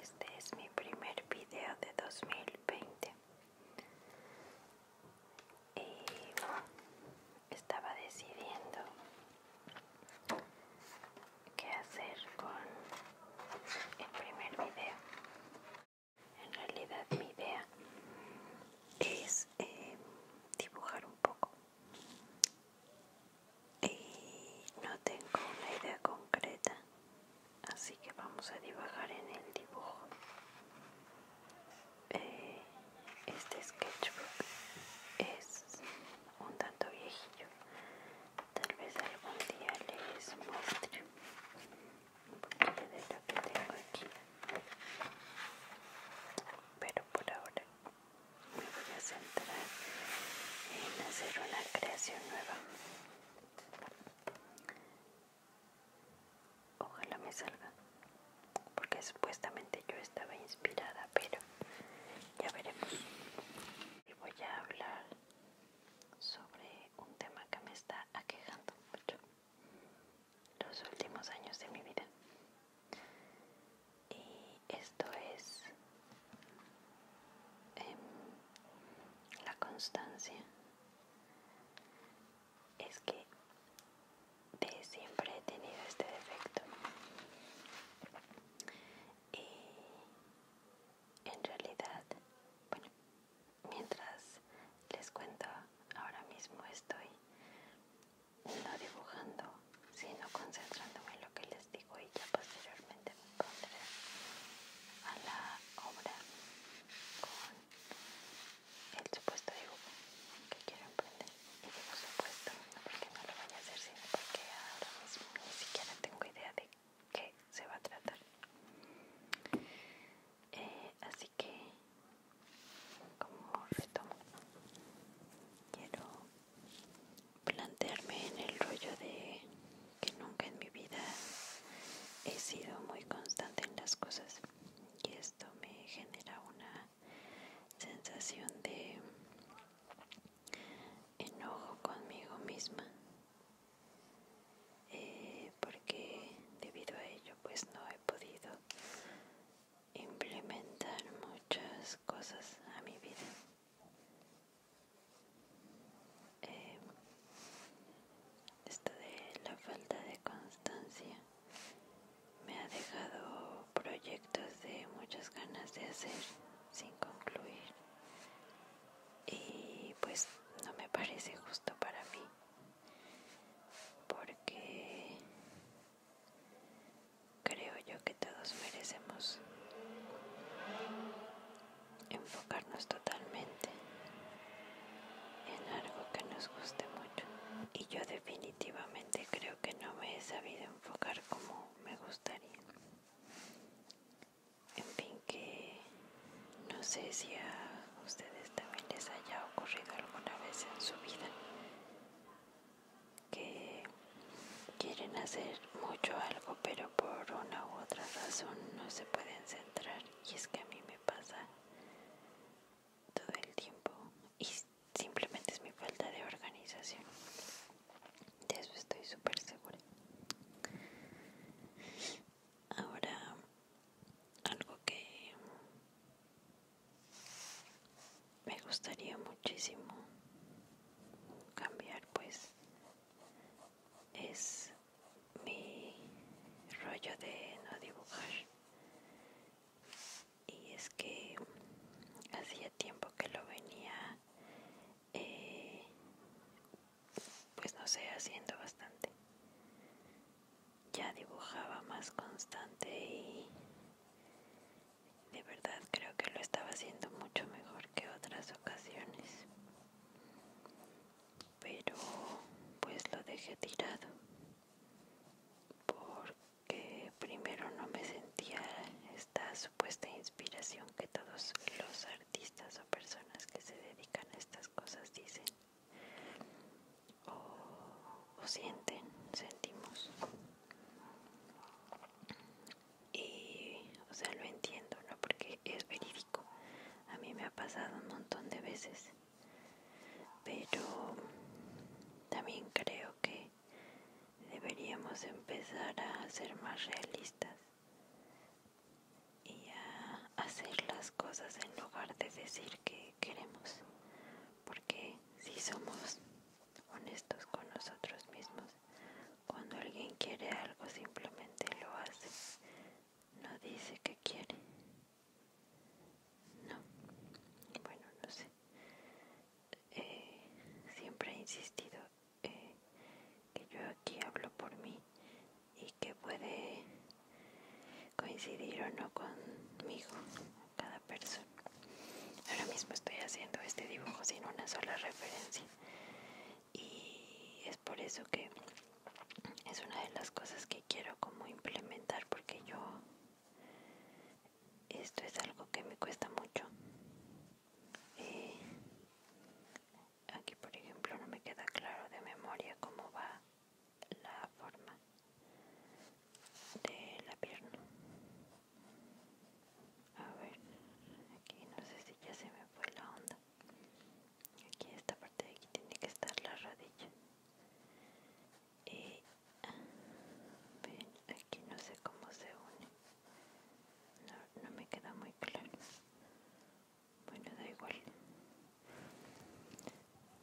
Este es mi primer video de 2020 y estaba decidiendo qué hacer con el primer video. En realidad mi idea es eh, dibujar un poco y no tengo una idea concreta así que vamos a dibujar en el dibujo eh, este sketchbook es un tanto viejillo tal vez algún día les muestre un poquito de lo que tengo aquí pero por ahora me voy a centrar en hacer una creación nueva ojalá me salga porque supuestamente yo estaba inspirada pero ya veremos y voy a hablar sobre un tema que me está aquejando mucho los últimos años de mi vida. Y esto es em, la constancia. Es que siempre he tenido este defecto. Y en realidad, bueno, mientras les cuento ahora mismo estoy no dibujando, sino concentrándome en lo que les digo y ya posteriormente me pondré a la obra con el supuesto dibujo que quiero emprender. Y digo supuesto, no porque no lo vaya a hacer, sino porque ahora mismo ni siquiera tengo idea de qué se va a tratar. Eh, así que como retomo quiero plantearme en el rollo de que nunca en mi vida he sido muy constante en las cosas y esto me genera una sensación de enojo conmigo misma eh, porque debido a ello pues no he podido implementar muchas cosas a mi vida. Eh, esto de la falta de constancia me ha dejado proyectos de muchas ganas de hacer sin concluir y pues no me parece justo para mí porque Creo yo que todos merecemos enfocarnos totalmente en algo que nos guste mucho. Y yo definitivamente creo que no me he sabido enfocar como me gustaría. En fin, que no sé si a ustedes también les haya ocurrido alguna vez en su vida que quieren hacer mucho algo pero por una u otra razón no se pueden centrar y es que a mí me pasa todo el tiempo y simplemente es mi falta de organización de eso estoy súper segura ahora algo que me gustaría muchísimo cambiar pues es mi rollo de no dibujar y es que hacía tiempo que lo venía eh, pues no sé haciendo bastante ya dibujaba más constante y de verdad creo que lo estaba haciendo mucho mejor que otras ocasiones. Pero pues lo dejé tirado. Porque primero no me sentía esta supuesta inspiración que todos los artistas o personas que se dedican a estas cosas dicen o, sienten, sentimos. Y, o sea, lo entiendo, ¿no? Porque es verídico. A mí me ha pasado un montón de veces. Pero también creo que deberíamos empezar a ser más realistas y a hacer las cosas en lugar de decir que queremos porque si somos honestos con nosotros mismos, cuando alguien quiere algo simplemente lo hace, no dice que quiere. No, bueno, no sé. Eh, siempre he insistido eh, que yo aquí hablo por mí y que puede coincidir o no conmigo cada persona. Ahora mismo estoy haciendo este dibujo sin una sola referencia y es por eso que es una de las cosas que quiero como implementar porque yo esto es algo que me cuesta mucho. Eh, aquí por ejemplo no me queda claro de memoria cómo va la forma de la pierna. A ver, aquí no sé si ya se me fue la onda. Aquí esta parte de aquí tiene que estar la rodilla. Y ah, ven, aquí no sé cómo se une. No, no me queda muy claro. Bueno, da igual.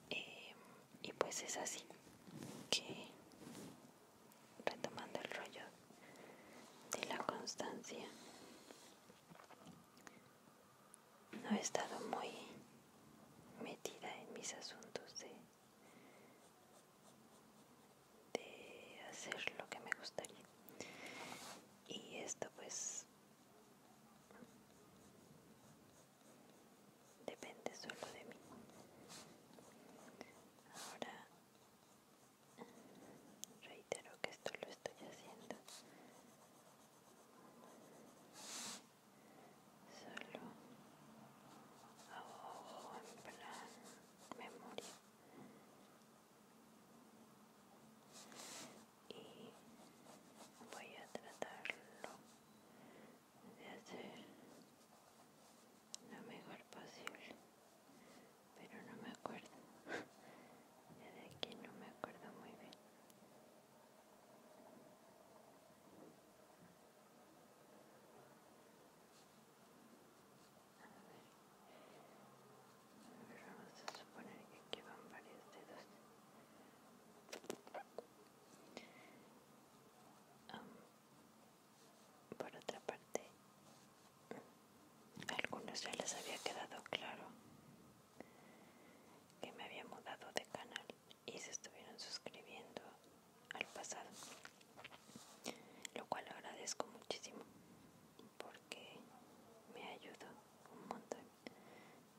Em, y pues es así que retomando el rollo de la constancia. No he estado muy metida en mis asuntos de, hacer lo que me gustaría. Y esto pues depende solo de mí. Ahora mm, reitero que esto lo estoy haciendo solo a en plan memoria y voy a tratarlo de hacer lo mejor posible pero no me acuerdo de aquí no me acuerdo muy bien vamos a suponer que aquí van varios dedos um, por otra parte, a mm, algunos ya les había quedado claro que me había mudado de canal y se estuvieron suscribiendo al pasado, lo cual agradezco muchísimo porque me ayudó un montón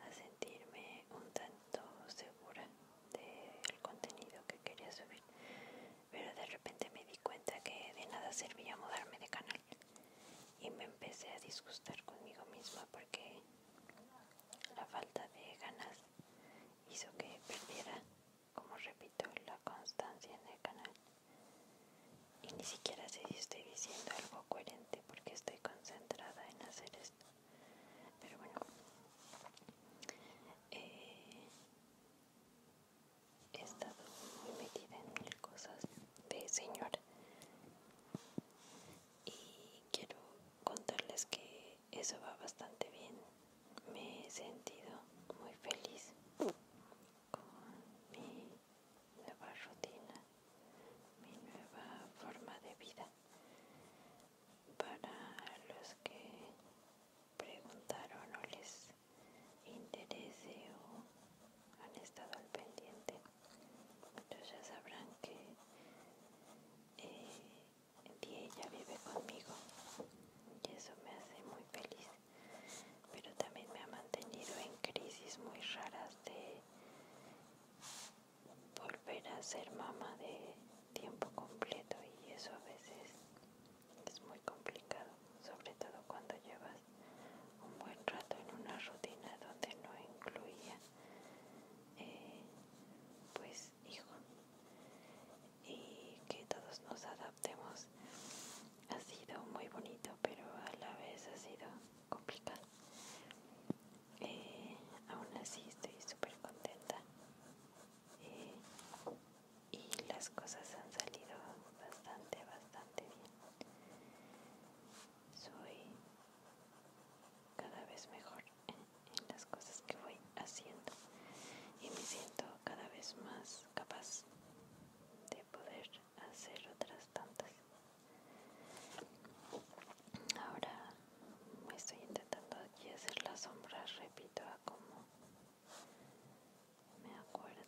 a sentirme un tanto segura del contenido que quería subir pero de repente me di cuenta que de nada servía mudarme de canal y me empecé a disgustar conmigo misma porque la falta de ganas hizo que perdiera, como repito, la constancia en el canal. Y ni siquiera sé si estoy diciendo algo coherente porque estoy concentrada en hacer esto. Pero bueno, eh, he estado muy metida en mil cosas de señor y quiero contarles que eso va bastante bien me he sentido muy feliz con mi nueva rutina mi nueva forma de vida para los que preguntaron o les interese o han estado al pendiente, entonces pues ya sabrán que eh, ella vive conmigo y eso me hace muy feliz, pero también me ha mantenido en crisis muy raras de volver a ser mamá de tiempo completo y eso a veces es muy complicado, sobre todo cuando llevas un buen rato en una rutina donde no incluía eh, pues hijo y que todos nos adaptemos ha sido muy bonito pero a la vez ha sido complicado eh, aún así estoy súper contenta eh, y las cosas han salido bastante, bastante bien. Soy cada vez mejor en, las cosas que voy haciendo y me siento cada vez más capaz de poder hacer otras tantas. Ahora estoy intentando aquí hacer la sombra, repito, a como me acuerdo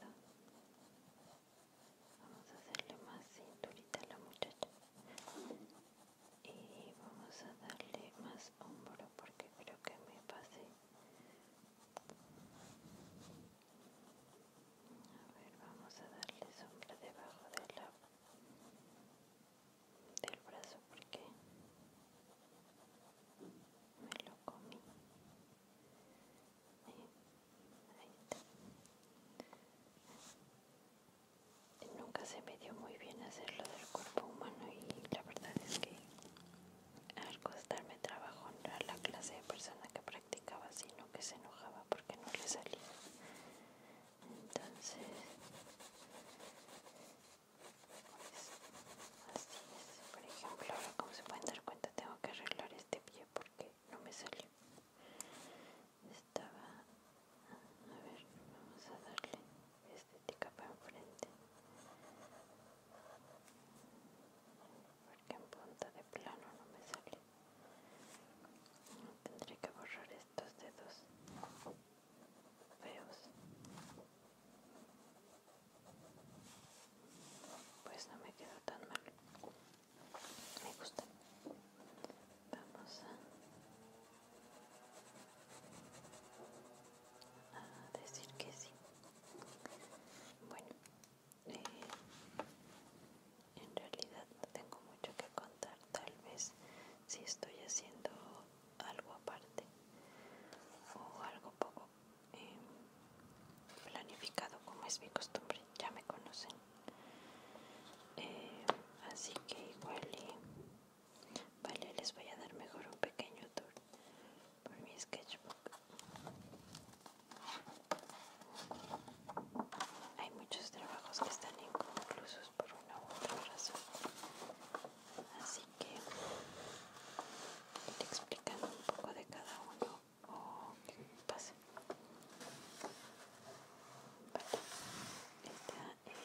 vamos a hacerle más cinturita a la muchacha y vamos a darle más hombro porque creo que me pasé a ver vamos a darle sombra debajo del brazo porque me lo comí. Nunca se me dio muy bien hacerlo del cuerpo humano y la verdad es que al costarme trabajo no era la clase de persona que practicaba, sino que se enojaba porque no le salía. Entonces por ejemplo, ahora como se pueden dar cuenta tengo que arreglar este pie porque no me salió. Estaba, a ver, vamos a darle estética para enfrente. Porque en punta de plano no me sale. Tendré que borrar estos dedos feos pues no me quedó tan mal me gusta vamos a, decir que sí bueno eh, en realidad no tengo mucho que contar tal vez si estoy haciendo algo aparte o algo poco eh, planificado como es mi costumbre, ya me conocen. Eh, así que igual eh, vale, les voy a dar mejor un pequeño tour por mi sketchbook. Hay muchos trabajos que están inconclusos por una u otra razón. Así que ir explicando un poco de cada uno o que pase.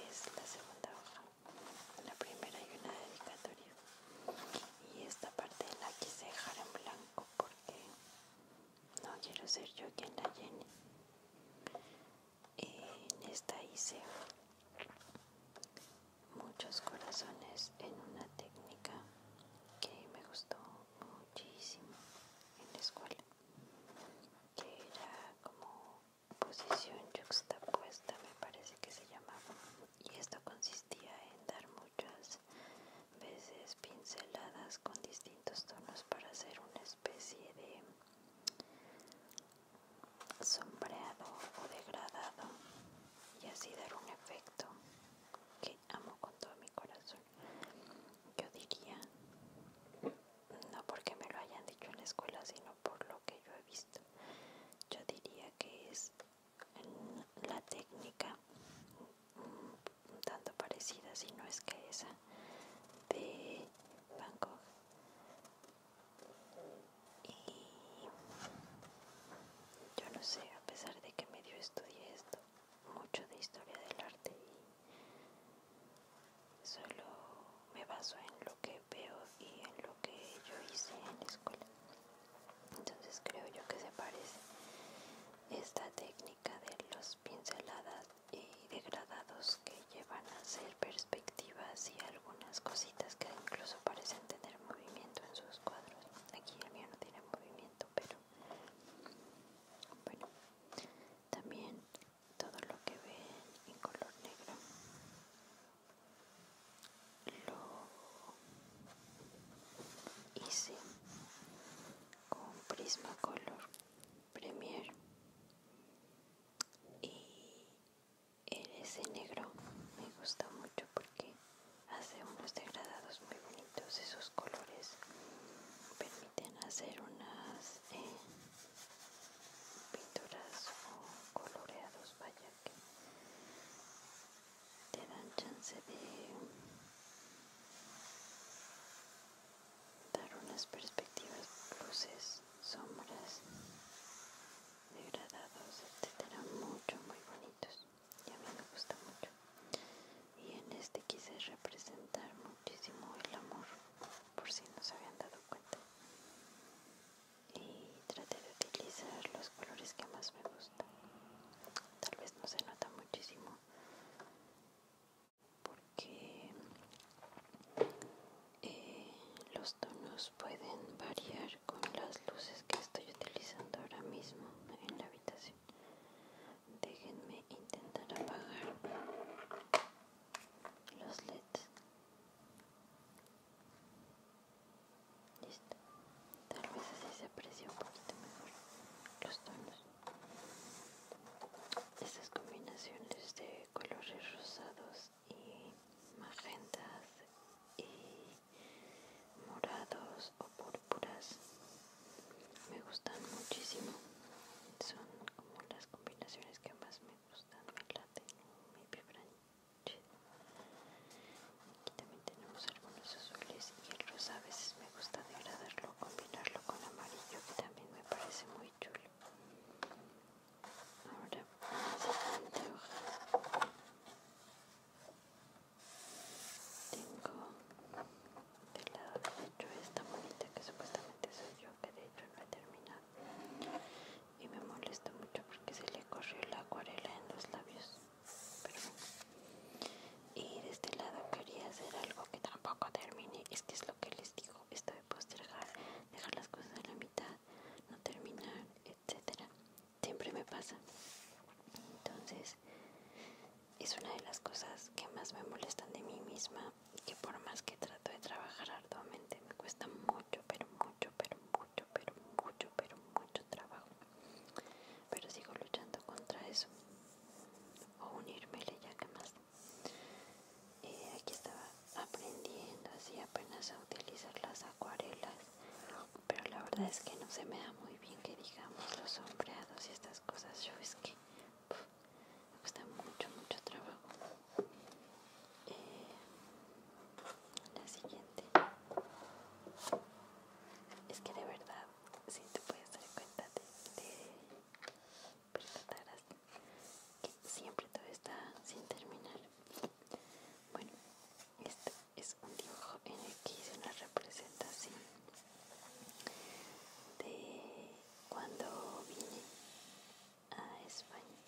Esta es la segunda hoja. La primera hay una dedicatoria. Y esta parte la quise dejar en blanco porque no quiero ser yo quien la llene. En esta hice muchos corazones en una técnica que me gustó muchísimo en la escuela que era como posición juxtapuesta me parece que se llamaba y esto consistía en dar muchas veces pinceladas con distintos tonos para hacer una especie de sombreado o degradado y así dar un efecto que amo con todo mi corazón. Yo diría, no porque me lo hayan dicho en la escuela, sino por lo que yo he visto, yo diría que es la técnica un mm, tanto parecida, si no es que esa de Van y yo no sé, a pesar de que medio estudié esto, mucho de historia del arte y solo me baso en lo que veo y en lo que yo hice en la escuela. Entonces creo yo que se parece esta técnica de los pinceladas y degradados que llevan a hacer perspectivas y algunas cositas que incluso parecen tener movimiento en sus cuadros aquí el mío no tiene movimiento pero bueno también todo lo que ven en color negro lo hice con color premier y ese negro me gusta mucho porque hace unos degradados muy bonitos esos colores permiten hacer unas eh, pinturas o coloreados vaya que te dan chance de dar unas perspectivas luces sombras degradados etc, mucho muy bonitos y a mí me gusta mucho y en este quise representar muchísimo el amor por si no se habían dado cuenta y traté de utilizar los colores que más me gustan tal vez no se nota muchísimo porque eh, los tonos pueden variar con las luces que estoy utilizando ahora mismo en la habitación déjenme intentar apagar los leds listo tal vez así se aprecia un poquito mejor los tonos estas combinaciones de colores rosados y magentas y morados o púrpuras me gustan muchísimo son como las combinaciones que más me gustan me laten me vibran aquí también tenemos algunos azules y el rosa a veces me gusta degradarlo combinarlo con amarillo que también me parece muy chulo ahora tengo del lado derecho esta bonita que supuestamente soy yo, que de hecho no he terminado. Y me molesta mucho porque se le corrió la acuarela en los labios. Y de este lado quería hacer algo que tampoco termine, Es que es lo que les digo, esto de postergar, dejar las cosas a la mitad, no terminar, etcétera siempre me pasa. Entonces, es una de las cosas que más me molestan de mí misma, que por más que trato de trabajar arduamente, me cuesta mucho, pero mucho, pero mucho, pero mucho, pero mucho trabajo. Pero sigo luchando contra eso. O unírmele ya que más. Eh, aquí estaba aprendiendo así apenas a utilizar las acuarelas pero la verdad es que no se me da muy bien que digamos los sombreados y estas cosas. Yo es que me cuesta mucho, mucho trabajo. Eh, la siguiente es que de verdad, si te puedes dar cuenta de, de trataras que siempre todo está sin terminar. Bueno, este es un dibujo en el que hice una representación de cuando vine a España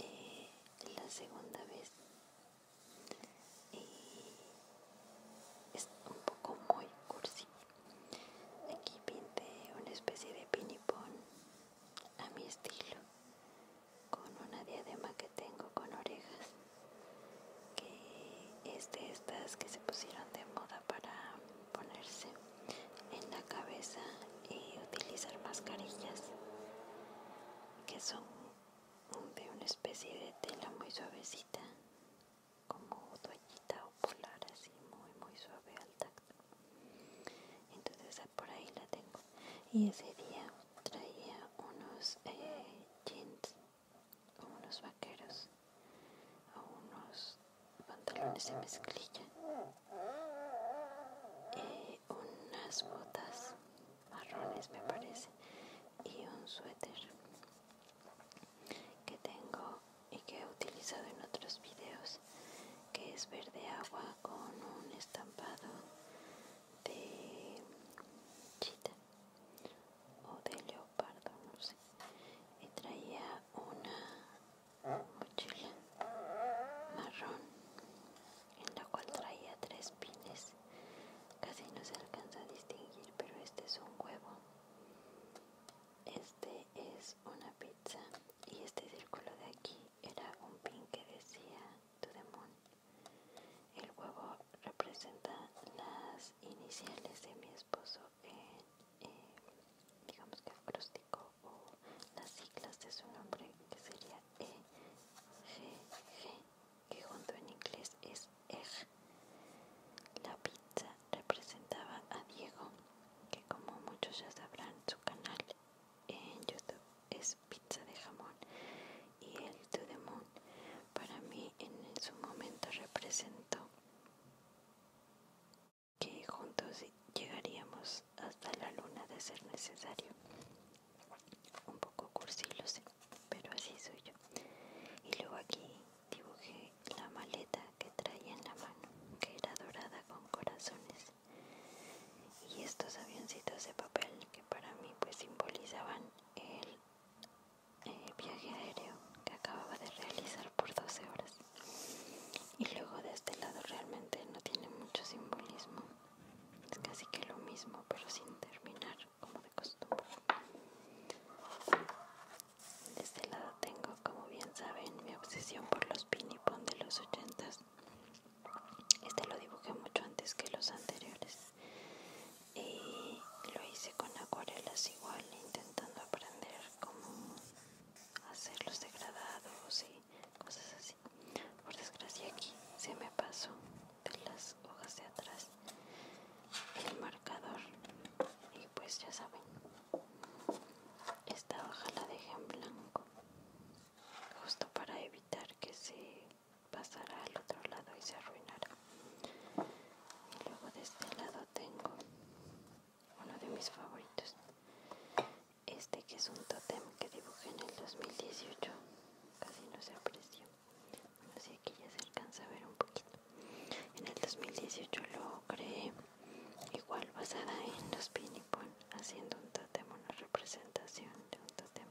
eh, la segunda vez es un poco muy cursi aquí pinté una especie de pinipón a mi estilo con una diadema que tengo con orejas que es de estas que se pusieron de moda para ponerse en la cabeza y utilizar mascarillas que son de una especie de tela muy suavecita como toallita o polar así muy muy suave al tacto entonces por ahí la tengo y ese día traía unos eh, jeans unos vaqueros unos pantalones de mezclilla unas botas marrones me parece y un suéter que tengo y que he utilizado en otros videos que es verde agua con un estampado de chita o de leopardo, no sé. Y traía una mochila marrón en la cual traía tres pines. Casi no se alcanza a distinguir, pero este es un huevo. Este es una pizza y este círculo de aquí era un pin que decía tu demonio el huevo representa las iniciales de mi esposo en, eh, digamos que acróstico o las siglas de su nombre que sería E-G-G, que junto en inglés es EG. La pizza representaba a Diego, que como muchos ya sabrán su canal en YouTube es pizza de jamón y el to the moon para mí en su momento representó que juntos llegaríamos hasta la luna de ser necesario un poco cursi lo pero así soy yo y luego aquí dibujé la maleta que traía en la mano que era dorada con corazones y estos avioncitos de papel que para mí pues simbolizaban el eh, viaje aéreo que acababa de realizar por 12 horas. Y luego de este lado realmente no tiene mucho simbolismo. Es casi que lo mismo, pero sin terminar, como de costumbre. De este lado tengo, como bien saben, mi obsesión por los ping-pong de los 80 Este lo dibujé mucho antes que los anteriores y lo hice con acuarelas igual intentando aprender cómo los degradados y cosas así por desgracia aquí se me pasó de las hojas de atrás el marcador y pues ya saben esta hoja la dejé en blanco justo para evitar que se pasará al otro lado y se arruinará. Y luego de este lado tengo uno de mis favoritos. Este que es un totem que dibujé en el 2018. Casi no se apreció. así si aquí ya se alcanza a ver un poquito. En el 2018 lo creé igual basada en los pon haciendo un totem, una representación de un totem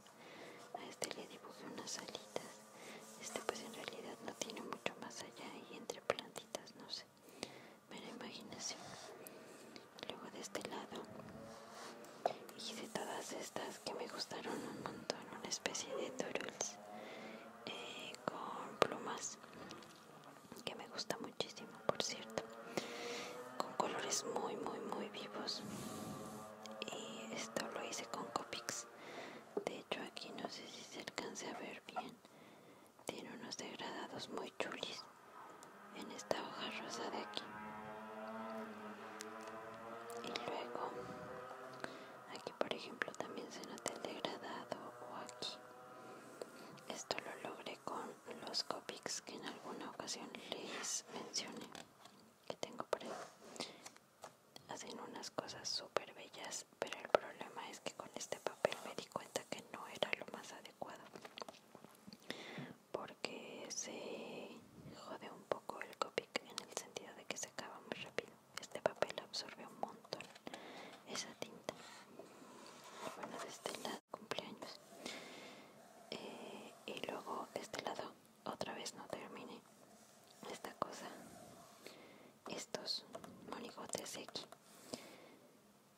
a este le dibujé unas alitas. Este pues en realidad no tiene mucho más allá y entre plantitas, no sé. pero imaginación. Luego de este lado hice todas estas que me gustaron un montón, una especie de toros eh, con plumas que me gusta muchísimo, por cierto, con colores muy, muy, muy vivos. Y esto lo hice con Copics de hecho aquí no sé si se alcance a ver bien. Tiene unos degradados muy chulis en esta hoja rosa de aquí. Y luego aquí por ejemplo también se nota el degradado o aquí. Esto lo logré con los copics que en alguna ocasión les mencioné que tengo por ahí hacen unas cosas súper bellas pero el problema es que con este papel me di cuenta que no era lo más adecuado porque se jode un poco el Copic en el sentido de que se acaba muy rápido este papel absorbe un montón esa tinta bueno de este lado cumpleaños eh, y luego este lado otra vez no termine esta cosa estos monigotes aquí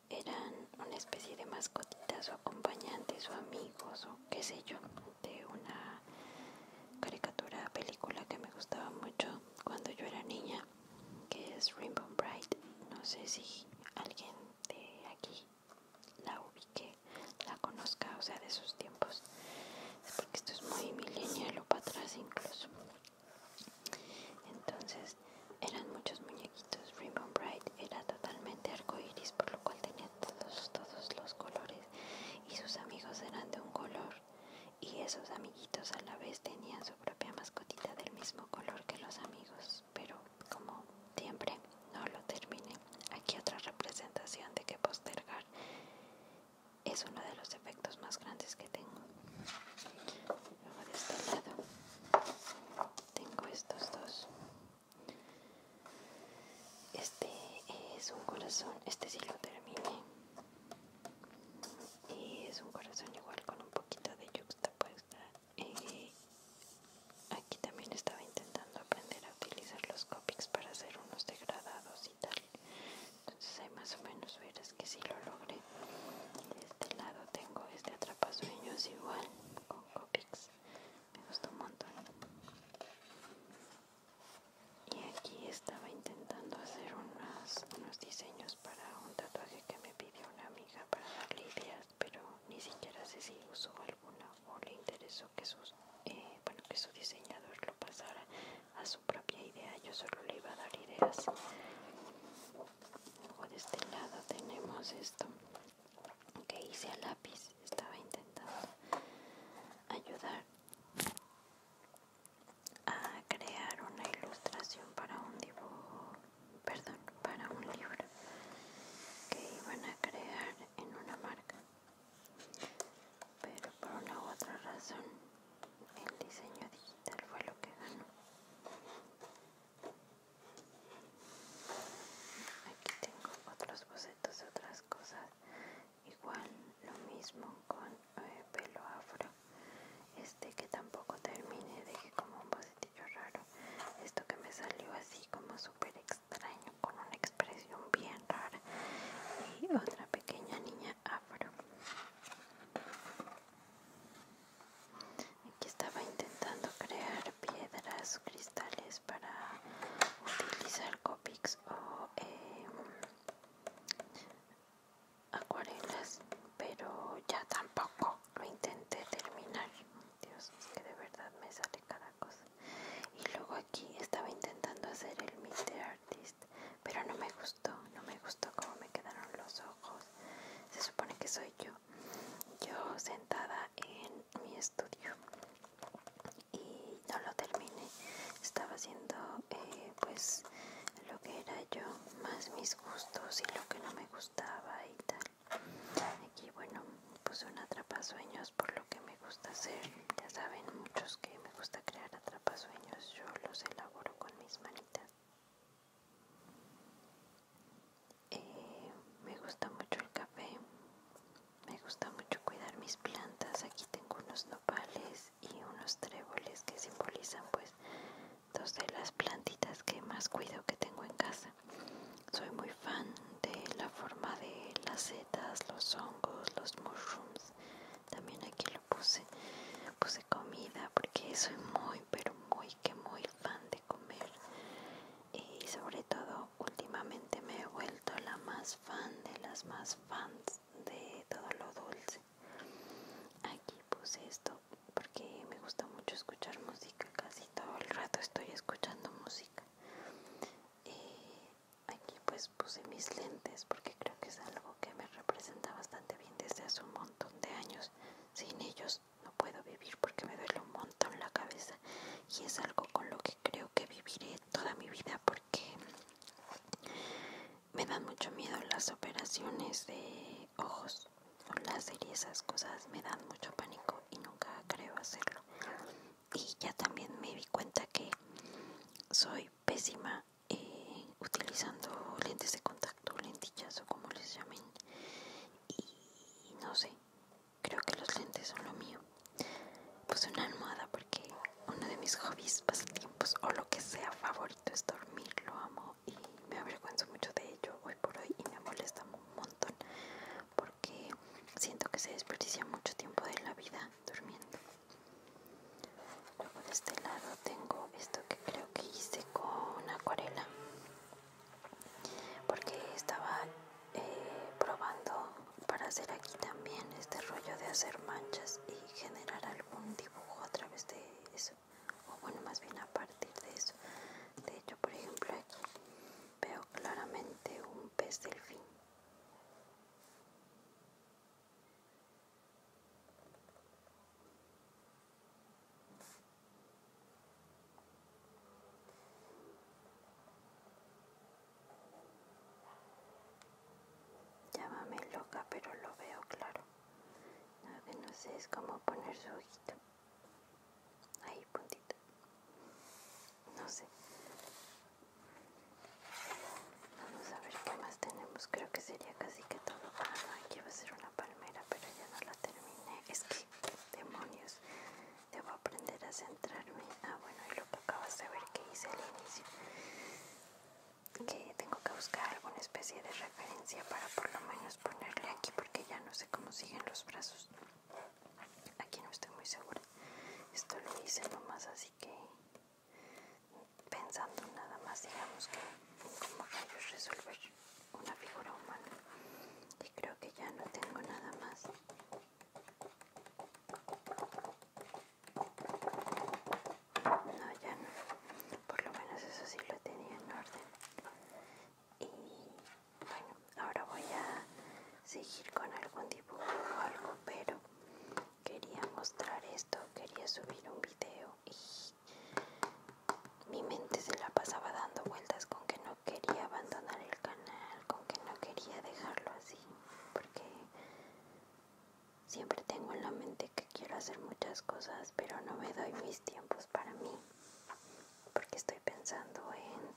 eran una especie de mascotitas o acompañantes o amigos o qué sé yo de una caricatura película que me gustaba mucho cuando yo era niña que es Rainbow Bright no sé si alguien de aquí la ubique la conozca o sea de sus tiempos porque esto es muy milenial o para atrás incluso. Entonces eran muchos muñequitos. Rainbow Bright era totalmente arcoiris, por lo cual tenía todos, todos los colores y sus amigos eran de un color. Y esos amiguitos a la vez tenían su propia mascotita del mismo color que los amigos, pero como siempre no lo terminé. Aquí otra representación de que postergar es uno de los efectos más grandes que tengo. Luego de este lado tengo estos dos. Este es un corazón, este sí lo terminé. Y es un corazón igual con un poquito de yuxtapuesta. Eh, aquí también estaba intentando aprender a utilizar los Copics para hacer unos degradados y tal entonces hay más o menos veras que si sí lo logré de este lado tengo este atrapasueños igual con copics me gusta un montón y aquí estaba intentando hacer unos diseños para un tatuaje que me pidió una amiga para darle ideas pero ni siquiera sé si usó alguna o le interesó que eh, bueno que su diseñador lo pasara a su propia idea, yo solo le iba a dar ideas. Luego de este lado tenemos esto que hice a lápiz, estaba intentando ayudar a crear una ilustración para un dibujo, perdón, para un libro que iban a crear en una marca pero por una u otra razón el diseño digital fue lo que ganó. Aquí tengo otros bocetos de otras cosas, igual lo mismo con eh, pelo afro, este que tampoco terminé, dejé como un bocetillo raro, esto que me salió así como súper extraño, con una expresión bien rara y otra pequeña niña aquí estaba intentando crear piedras cristales para utilizar copics o em, acuarelas pero ya tampoco lo intenté terminar Dios es que de verdad me sale cada cosa y luego aquí estaba intentando hacer el meter pero no me gustó, no me gustó cómo me quedaron los ojos. Se supone que soy yo, yo sentada en mi estudio y no lo terminé. Estaba haciendo eh, pues lo que era yo, más mis gustos y lo que no me gustaba y tal. Aquí bueno, puse un sueños por lo que me gusta hacer, ya saben muchos que me gusta crear atrapasueños, yo los elaboro con mis manitas. Eh, me gusta mucho el café, me gusta mucho cuidar mis plantas. Aquí tengo unos nopales y unos tréboles que simbolizan, pues, dos de las plantitas que más cuido que tengo en casa. Soy muy fan de la forma de las setas, los hongos, los mushrooms también aquí lo puse puse comida porque soy muy pero muy que muy fan de comer y sobre todo últimamente me he vuelto la más fan de las más fans de todo lo dulce aquí puse esto porque me gusta mucho escuchar música casi todo el rato estoy escuchando música eh, aquí pues puse mis lentes porque creo que es algo que me representa bastante bien desde hace un montón de años. Sin ellos no puedo vivir porque me duele un montón la cabeza y es algo con lo que creo que viviré toda mi vida porque me dan mucho miedo las operaciones de ojos o láser y esas cosas me dan mucho pánico y nunca creo hacerlo. Y ya también me di cuenta que soy pésima utilizando lentes de contacto, lentillas o como les llamen. Y no sé, creo que los lentes son lo mío. pues una almohada porque uno de mis hobbies, pasatiempos o lo que sea favorito es dormir, lo amo y me avergüenzo mucho de ello hoy por hoy y me molesta un montón porque siento que se desperdicia mucho tiempo de la vida durmiendo luego de este lado tengo esto que creo que hice con acuarela porque estaba eh, probando para hacer aquí también este rollo de hacer manchas y generar algún dibujo a través de eso o bueno más bien a partir de eso de hecho por ejemplo aquí veo claramente un pez delfín Llámame loca, pero lo veo claro. no sé es cómo poner su ojito. Ahí, puntito. No sé. Vamos a ver qué más tenemos. Creo que sería casi que todo. Ah, aquí va a ser una palmera, pero ya no la terminé. Es que, demonios, debo aprender a centrarme. Ah, bueno, y que acabas de ver que hice al inicio. Que tengo que buscar alguna especie de referencia para por lo menos ponerle aquí, porque ya no sé cómo siguen los brazos. Aquí no estoy muy segura. Esto lo hice nomás así que pensando nada más digamos que como resolver una figura humana y creo que ya no tengo nada más no ya no por lo menos eso sí lo tenía en orden y bueno ahora voy a seguir con algún dibujo o algo pero quería mostrar esto, quería subir un video y mi mente se la pasaba dando vueltas con que no quería abandonar el canal, con que no quería dejarlo así, porque siempre tengo en la mente que quiero hacer muchas cosas, pero no me doy mis tiempos para mí, porque estoy pensando en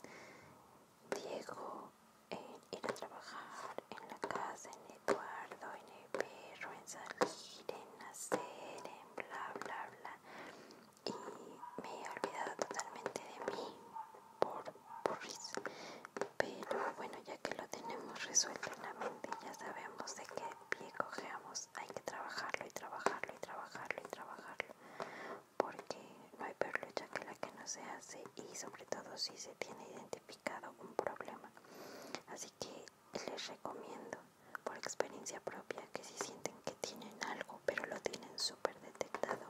Diego, en ir a trabajar en la casa, en Eduardo, en el perro, en salir, en nacer, en bla, bla, bla. Y me he olvidado totalmente de mí por risa Pero bueno, ya que lo tenemos resuelto en la mente, ya sabemos de qué pie cogemos. Hay que trabajarlo y trabajarlo y trabajarlo y trabajarlo. Porque no hay peor lucha que la que no se hace y sobre todo si se tiene identificado un problema. Así que les recomiendo por experiencia propia que si sienten que tienen algo pero lo tienen súper detectado,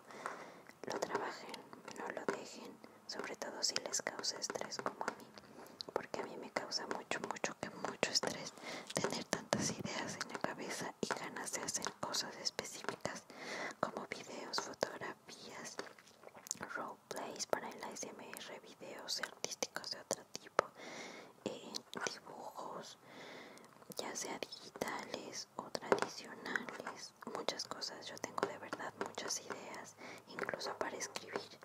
lo trabajen, no lo dejen, sobre todo si les causa estrés como a mí, porque a mí me causa mucho, mucho, que mucho estrés tener tantas ideas en la cabeza y ganas de hacer cosas específicas como videos, fotografías, Place para el ASMR, videos artísticos de otro tipo, eh, dibujos, ya sea digitales o tradicionales, muchas cosas. Yo tengo de verdad muchas ideas, incluso para escribir.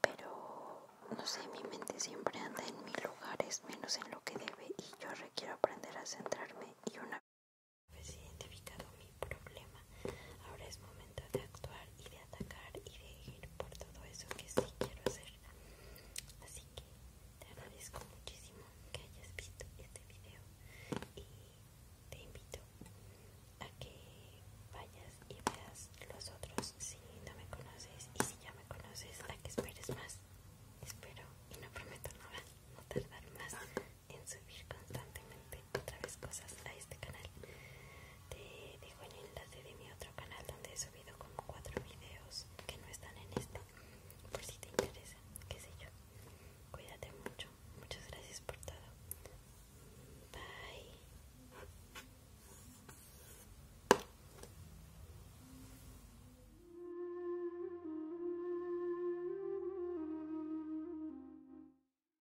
Pero no sé, mi mente siempre anda en mil lugares, menos en lo que debe, y yo requiero aprender a centrarme. Y una vez problema. Ahora es momento de actuar y de atacar y de ir por todo eso que sí quiero hacer. Así que te agradezco muchísimo que hayas visto este video y te invito a que vayas y veas los otros si no me conoces y si ya me conoces a que esperes más. Espero y no prometo nada, no tardar más en subir constantemente otra vez cosas a este canal te dejo el enlace de mi otro canal donde he subido como cuatro videos que no están en esto por si te interesa qué sé yo cuídate mucho muchas gracias por todo bye